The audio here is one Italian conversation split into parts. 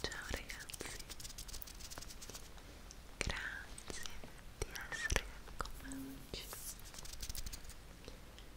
Ciao ragazzi, grazie di essere con me oggi.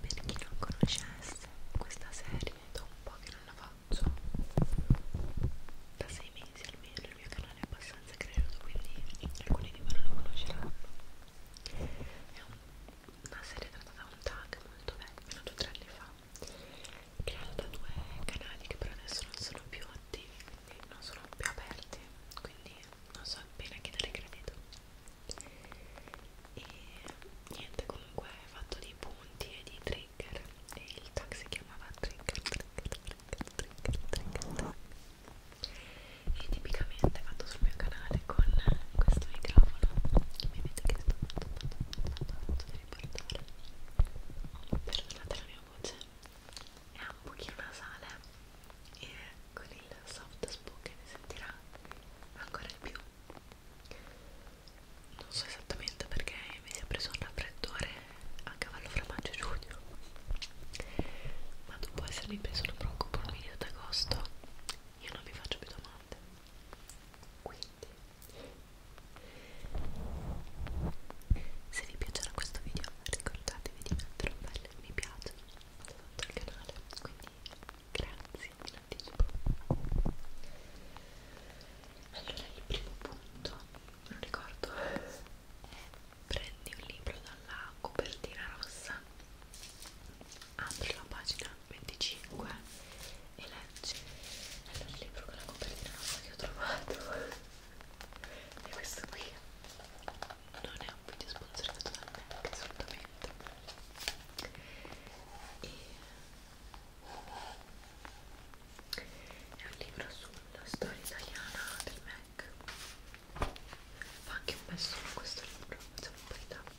Per chi non conoscesse questa serie, da un po' che non la faccio, da sei mesi almeno il mio canale è abbastanza cresciuto, quindi alcuni di voi non lo conosceranno. È un, una serie trattata da un tag molto vecchio, nato tre anni fa, creato da due canali che per adesso non sono più attivi quindi non sono più aperti quindi non so appena chi dare credito e niente comunque è fatto di punti e di trigger e il tag si chiamava trigger trigger trigger trigger trigger, trigger. e tipicamente è fatto sul mio canale con questo microfono che mi avete chiesto tanto tanto tanto tanto di riportare perdonate la mia la cioè, voce è un pochino nasale e con il soft spoken si sentirà ancora di più non so esattamente perché mi si è preso un raffreddore a cavallo fra maggio e giugno ma dopo essermi preso una bronco per un video d'agosto io non vi faccio più domande quindi se vi piacerà questo video ricordatevi di mettere un bel mi piace sotto al canale, quindi grazie in anticipo. Allora il primo punto, non ricordo, è prendi un libro dalla copertina rossa, apri la pagina 25 e leggi è il libro con la copertina rossa che ho trovato e questo qui non è un video sponsorizzato da me assolutamente e è un libro sulla storia italiana del Mac fa anche un bel suono questo libro facciamo un po' di tapping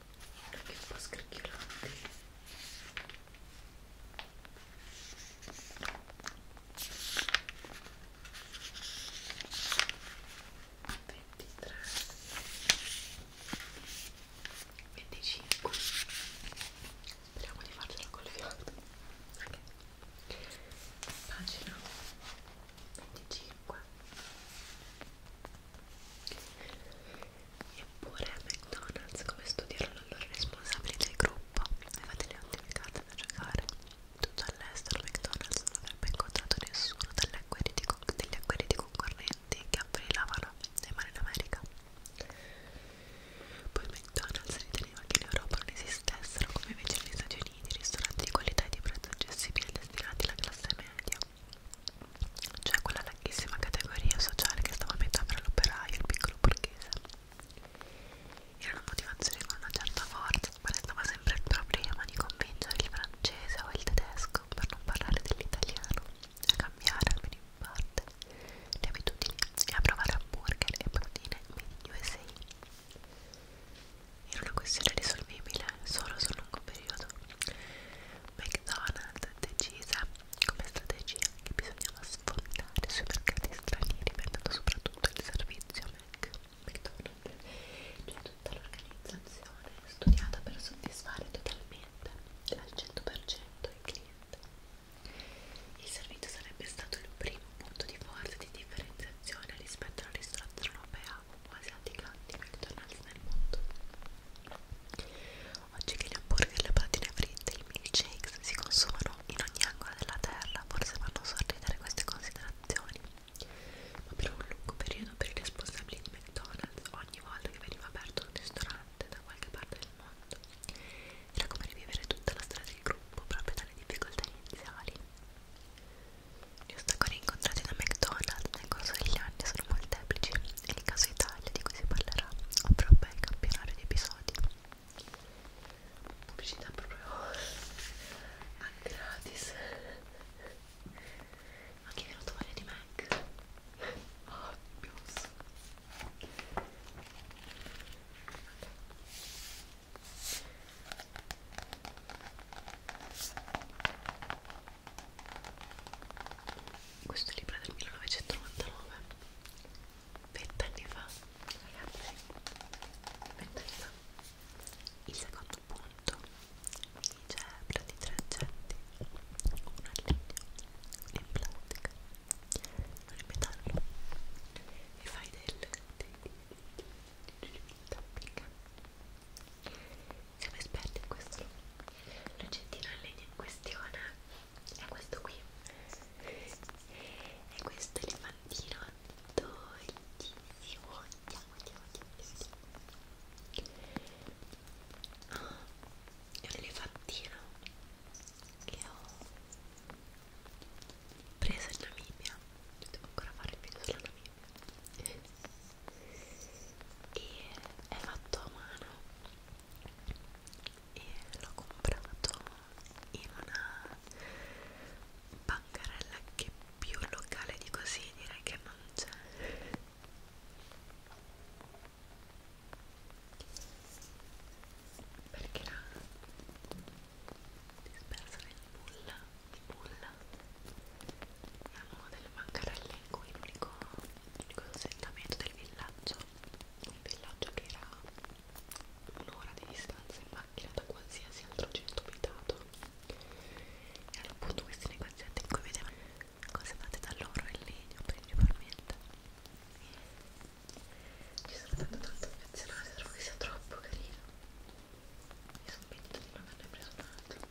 anche un po' scricchiolanti ventitré venticinque speriamo di farcela col fiato ok pagina 25 Eppure McDonald's, come studiarono allora i responsabili del gruppo, aveva delle ottime carte da giocare. Tutto all'estero McDonald's non avrebbe incontrato nessuno degli acqueriti concorrenti che avvelenavano le mani in America. Poi McDonald's riteneva che in Europa non esistessero come invece negli Stati Uniti ristoranti di qualità e di prezzo accessibile destinati alla classe media cioè quella larghissima categoria sociale che stava a metà fra l'operaio e il piccolo borghese. Era una motivazione con una certa forza, ma restava sempre il problema di convincere il francese o il tedesco, per non parlare dell'italiano, a cambiare almeno in parte le abitudini e a provare hamburger e proteine made in USA era una questione risolvibile solo sul lungo periodo. McDonald's decise come strategia che bisognava sfondare sui mercati stranieri vendendo soprattutto il servizio Mac. McDonald's, cioè tutta l'organizzazione studiata per soddisfare totalmente al 100% il cliente. Il servizio sarebbe stato il primo punto di forza e di differenziazione rispetto alla ristorazione europea o asiatica di McDonald's nel mondo. Oggi che gli hamburger, le patatine fritte e i milkshakes si consumano in ogni angolo della terra, forse fanno sorridere queste considerazioni. Ma per un lungo periodo per i responsabili di McDonald's, ogni volta che veniva aperto un ristorante da qualche parte del mondo, era come rivivere tutta la storia del gruppo proprio dalle difficoltà iniziali. Gli ostacoli incontrati da McDonald's nel corso degli anni sono molteplici e nel caso Italia di cui si parlerà avrà ben campionario di episodi. Pubblicità proprio a gratis. Anche venuto male di Mac. Oh, Dios questo libro è del 1999 vent'anni fa ragazzi vent'anni fa il secondo punto mi dice di tre oggetti uno è legno in plastica uno in metallo e fai del tapping siamo esperti in questo l'oggettino in legno in questione è questo qui è questo elefantino dolcissimo andiamo andiamo andiamo ah, è un elefantino che ho preso in Namibia devo ancora fare il video sulla Namibia e è fatto a mano e l'ho comprato in una bancarella che più locale di così direi che non c'è perché era dispersa nel nulla nulla siamo delle bancarelle in cui l'unico assentamento del villaggio un villaggio che era un'ora di distanza in macchina da qualsiasi altro centro abitato e erano appunto questi negozianti in cui vedevano cose fatte da loro e legno principalmente ci sono stato tanto affezionato, trovo che sia troppo carino mi sono pentita di non averne preso un altro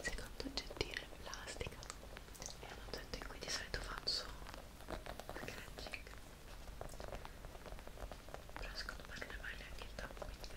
Secondo oggettino in plastica è un oggetto in cui di solito faccio scratching però secondo me non è male anche il tappo quindi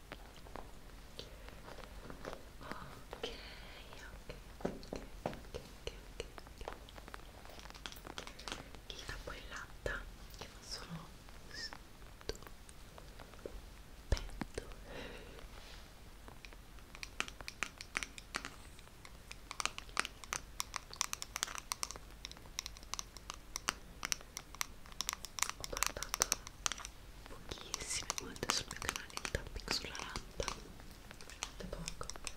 ok, ok, ok, ok, ok. Il capo in latta che non sono stupendo. Ho guardato pochissime volte sul mio canale il tapping sulla latta veramente poco ok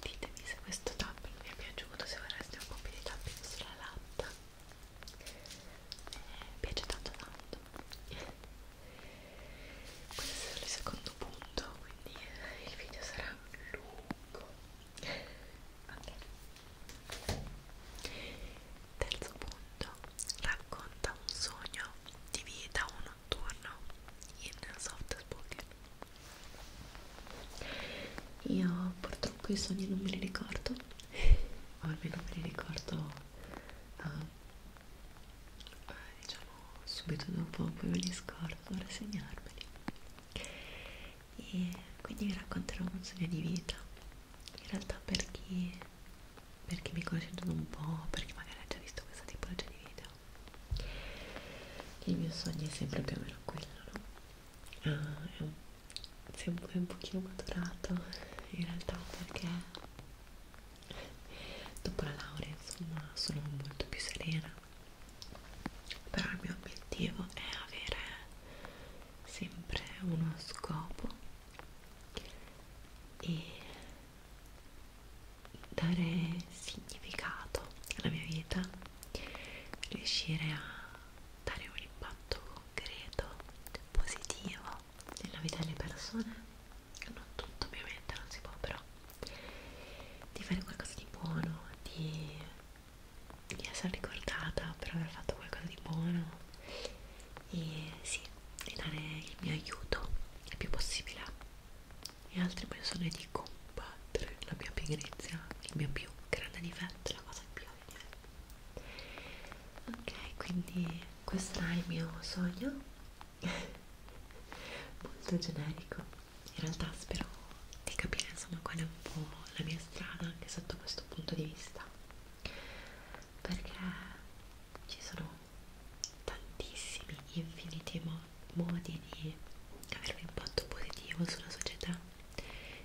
ditemi se questo tapping vi è piaciuto se vorreste un po' più di tapping sulla latta eh, piace tanto tanto questo è il secondo punto quindi il video sarà lungo okay. terzo punto racconta un sogno di vita uno notturno in soft spoken io purtroppo i sogni non me li ricordo o almeno me li ricordo uh, diciamo subito dopo poi me li scordo dovrò segnarmeli e quindi vi racconterò un sogno di vita in realtà per chi, per chi mi conosce un po' perché magari ha già visto questa tipologia di video il mio sogno è sempre più o meno quello no? ah, è un, sempre un pochino maturato in realtà perché dopo la laurea insomma sono molto più serena però il mio obiettivo è avere sempre uno scopo e dare significato alla mia vita, riuscire a dare un impatto concreto, positivo nella vita delle persone, non tutto ovviamente, non si può però, di fare qualcosa di buono, di, di essere ricordata per aver fatto qualcosa di buono e sì, di dare il mio aiuto il più possibile e altre persone di combattere la mia pigrizia, il mio più grande difetto, la cosa più ovvia. Ok, quindi questo era il mio sogno, molto generico. In realtà spero di capire insomma qual è un po' la mia strada anche sotto questo punto di vista, perché ci sono tantissimi, infiniti modi modi di avere un impatto positivo sulla società,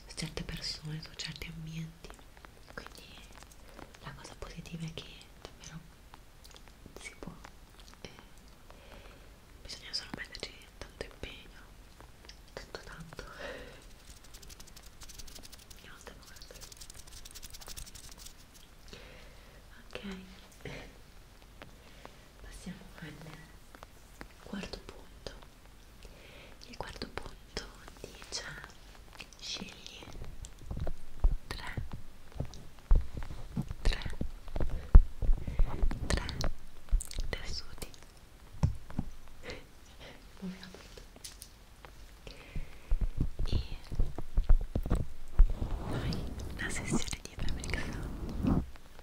su certe persone, su certi ambienti. Quindi la cosa positiva è che davvero si può, eh, bisogna solo metterci tanto impegno, tanto tanto. Andiamo a Ok, passiamo al quarto punto il quarto punto dice scegli tre tre tre tessuti ovviamente e noi una sessione di fabric sound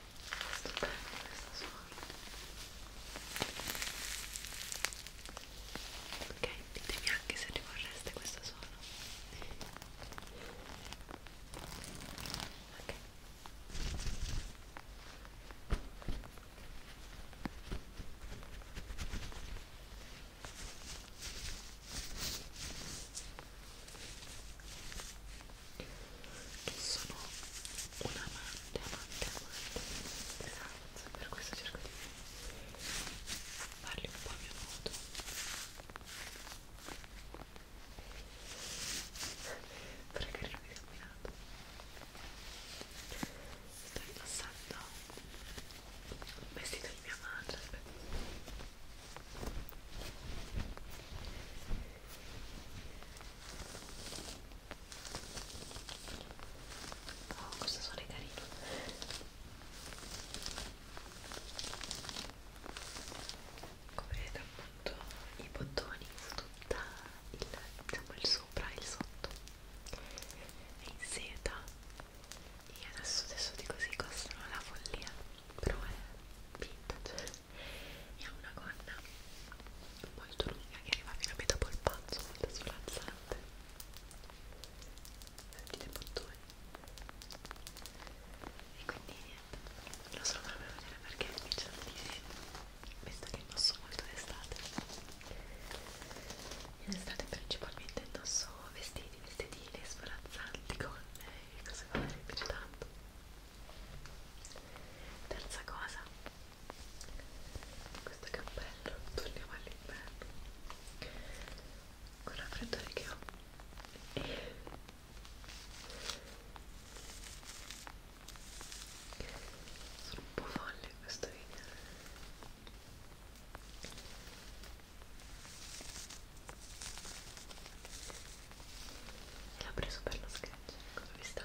Stupendo questo suono. Ok, ditemi anche se ricorreste questo suono. Ok. Ok, che sono un amante, amante, amante esatto, per questo cerco di farli un po' a mio modo per carino di combinato sto indossando un vestito di mia madre Oh, questo suono è carino. Come vedete appunto i bottoni su tutta il, diciamo, il sopra e il sotto è in seta e adesso tessuti così costano la follia però è vintage e ha una gonna molto lunga che arriva fino a metà polpazzo, molto sfrazzante sentite i bottoni e quindi niente, lo so proprio vedere perché mi c'è visto che indosso molto d'estate in estate principalmente indosso vestiti, vestitine sbarazzanti, gonne eh, e cose varie, mi piace tanto terza cosa questo cappello torniamo all'inverno con la freddore che ho e sono un po' folle in questo video l'ha preso per lo sketch come vi sta?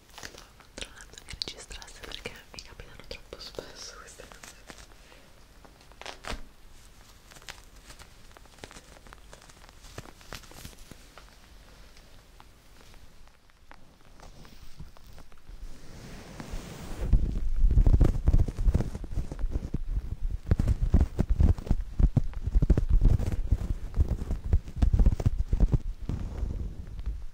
stavo controllando che registrasse perché mi capitano troppo spesso queste cose Ecco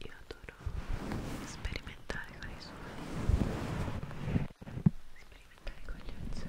Yo adoro experimentar con eso. sperimentare con gli oggetti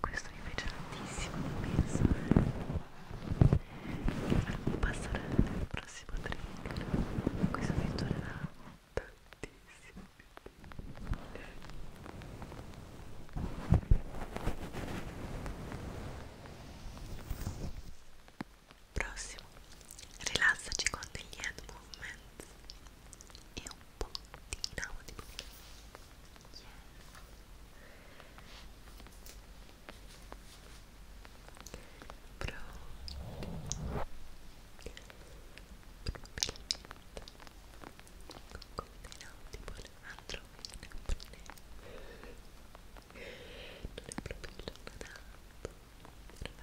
questo mi piace tantissimo pensare che faremo passare nel prossimo trigger questo mi durerà tantissimo prossimo rilassaci con degli hand movements e un po' di inaudible yeah. Pronto. Andrò in Napoli. Non è proprio il giorno adatto per fare l'inattimo libero. Ogni volta che vedevo, vedevo, vedevo questo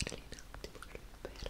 trigger, questo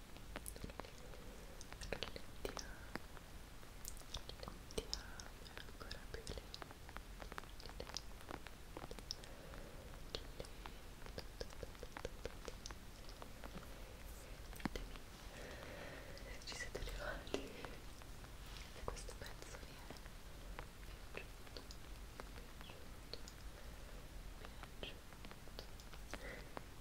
ancora più lento ci siete arrivati se questo pezzo vi è piaciuto piaciuto piaciuto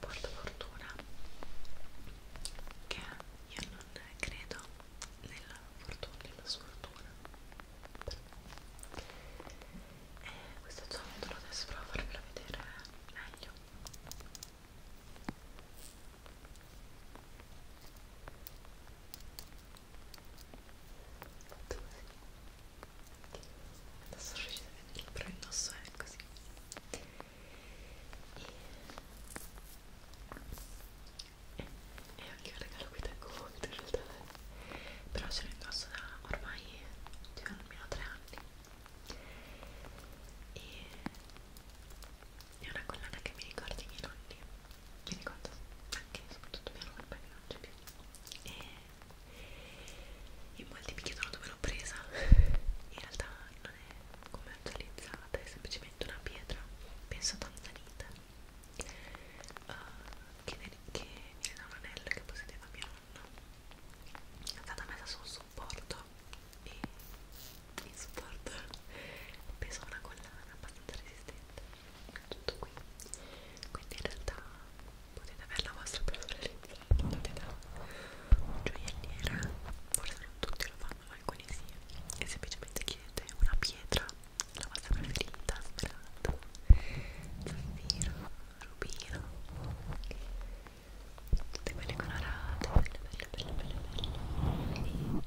portafortuna che io non credo nella fortuna nella sfortuna e eh, questo ciondolo adesso provo a farvelo vedere meglio Adesso riuscite a vedere, però il nostro è così e, e anche un regalo qui tengo molto in realtà però ce l'ho indosso da ormai cioè, almeno tre anni e è una collana che mi ricorda i miei nonni mi ricordo anche soprattutto mia nonna che non c'è più e in molti mi chiedono dove l'ho presa in realtà non commercializzata è semplicemente una pietra penso tanzanita uh, eh, che, che era un anello che possedeva mio nonno è stata messa su un supporto e il supporto pesa una collana abbastanza resistente tutto qui quindi in realtà potete avere la vostra personalizzazione fatte da gioielliera forse non tutti lo fanno ma alcuni sì e semplicemente chiedete una pietra la vostra preferita smeraldo zaffiro rubino tutte quelle colorate belle belle belle belle belle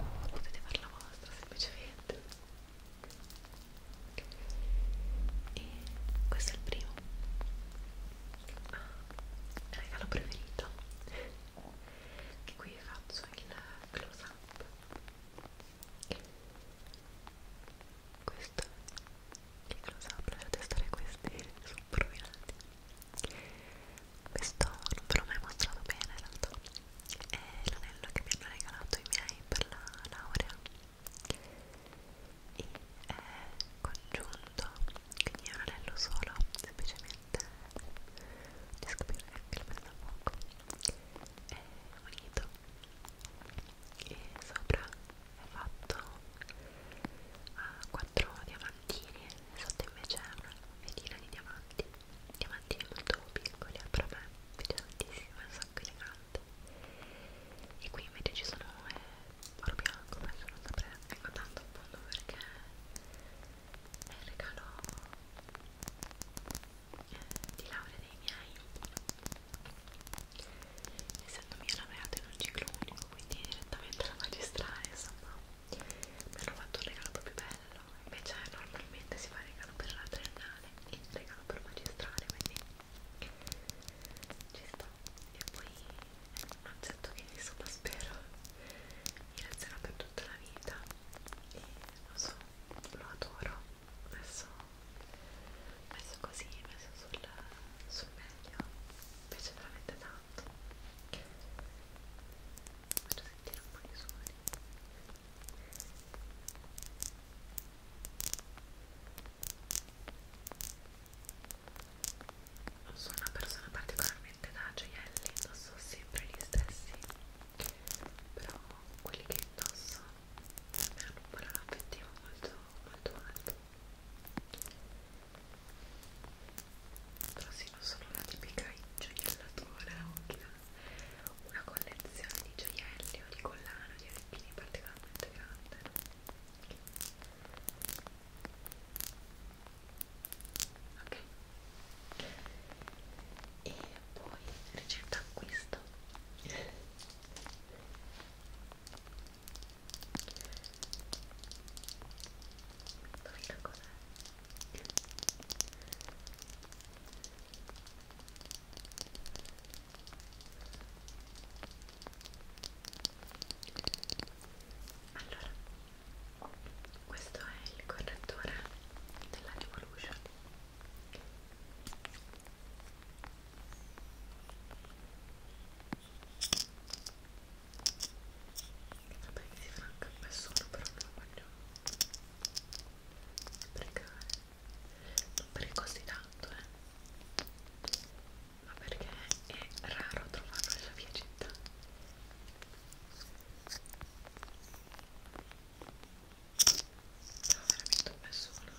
e potete fare la vostra semplicemente e questo è il primo regalo preferito che qui faccio il close up questo il close up dovete testare questi sono rovinati questo non ve l'ho mai mostrato bene in realtà è l'anello che mi hanno regalato i miei per la laurea e è eh, congiunto quindi è un anello solo semplicemente riesco a capire che lo prendo a poco è unito e sopra è fatto a 4 diamantini sotto invece è una vetina di diamanti diamantini molto piccoli però a me piace tantissimo è un sacco elegante colorato e qui invece ci sono eh, oro bianco adesso non saprei vengo tanto appunto perché è eh, il regalo eh, di laurea dei miei essendomi laureato in un ciclo unico quindi direttamente alla magistrale insomma mi hanno fatto un regalo proprio bello invece normalmente si fa regalo per la triennale e regalo per magistrale quindi ci sta e poi è un oggetto che insomma spero mi resterà per tutta la vita e lo so, lo adoro messo, messo così, messo sul, sul meglio mi piace veramente tanto faccio sentire un po' di suoni non sono una persona particolarmente da gioielli, indosso sempre gli stessi, però quelli che indosso hanno un valore affettivo molto, molto alto. Però sì, non sono una tipica gioiellatore o chi una collezione di gioielli o di collana o di orecchini particolarmente grande, no? ok e poi ricetta acquisto dov'è cos'è? allora questo è il correttore della Revolution vabbè che si fa anche a nessuno però non lo voglio sprecare non perché costi tanto eh ma perché è raro trovarlo nella mia città no, veramente un bel suono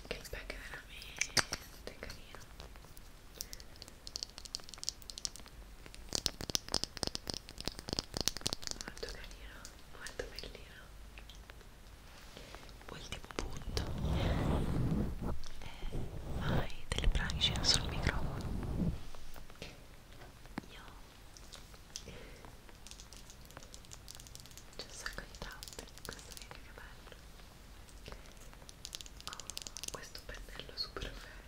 anche il pack è veramente carino molto carino molto bellino ultimo punto eh, hai delle branchie sul microfono io c'è un sacco di tappe in questo video che bello ho oh, questo pennello super vero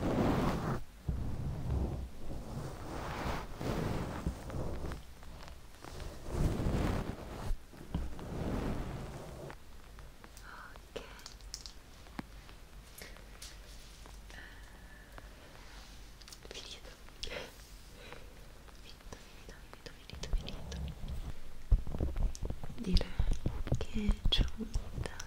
Ok. Finito. Finito, finito, finito, finito, finito. Direi che c'è un da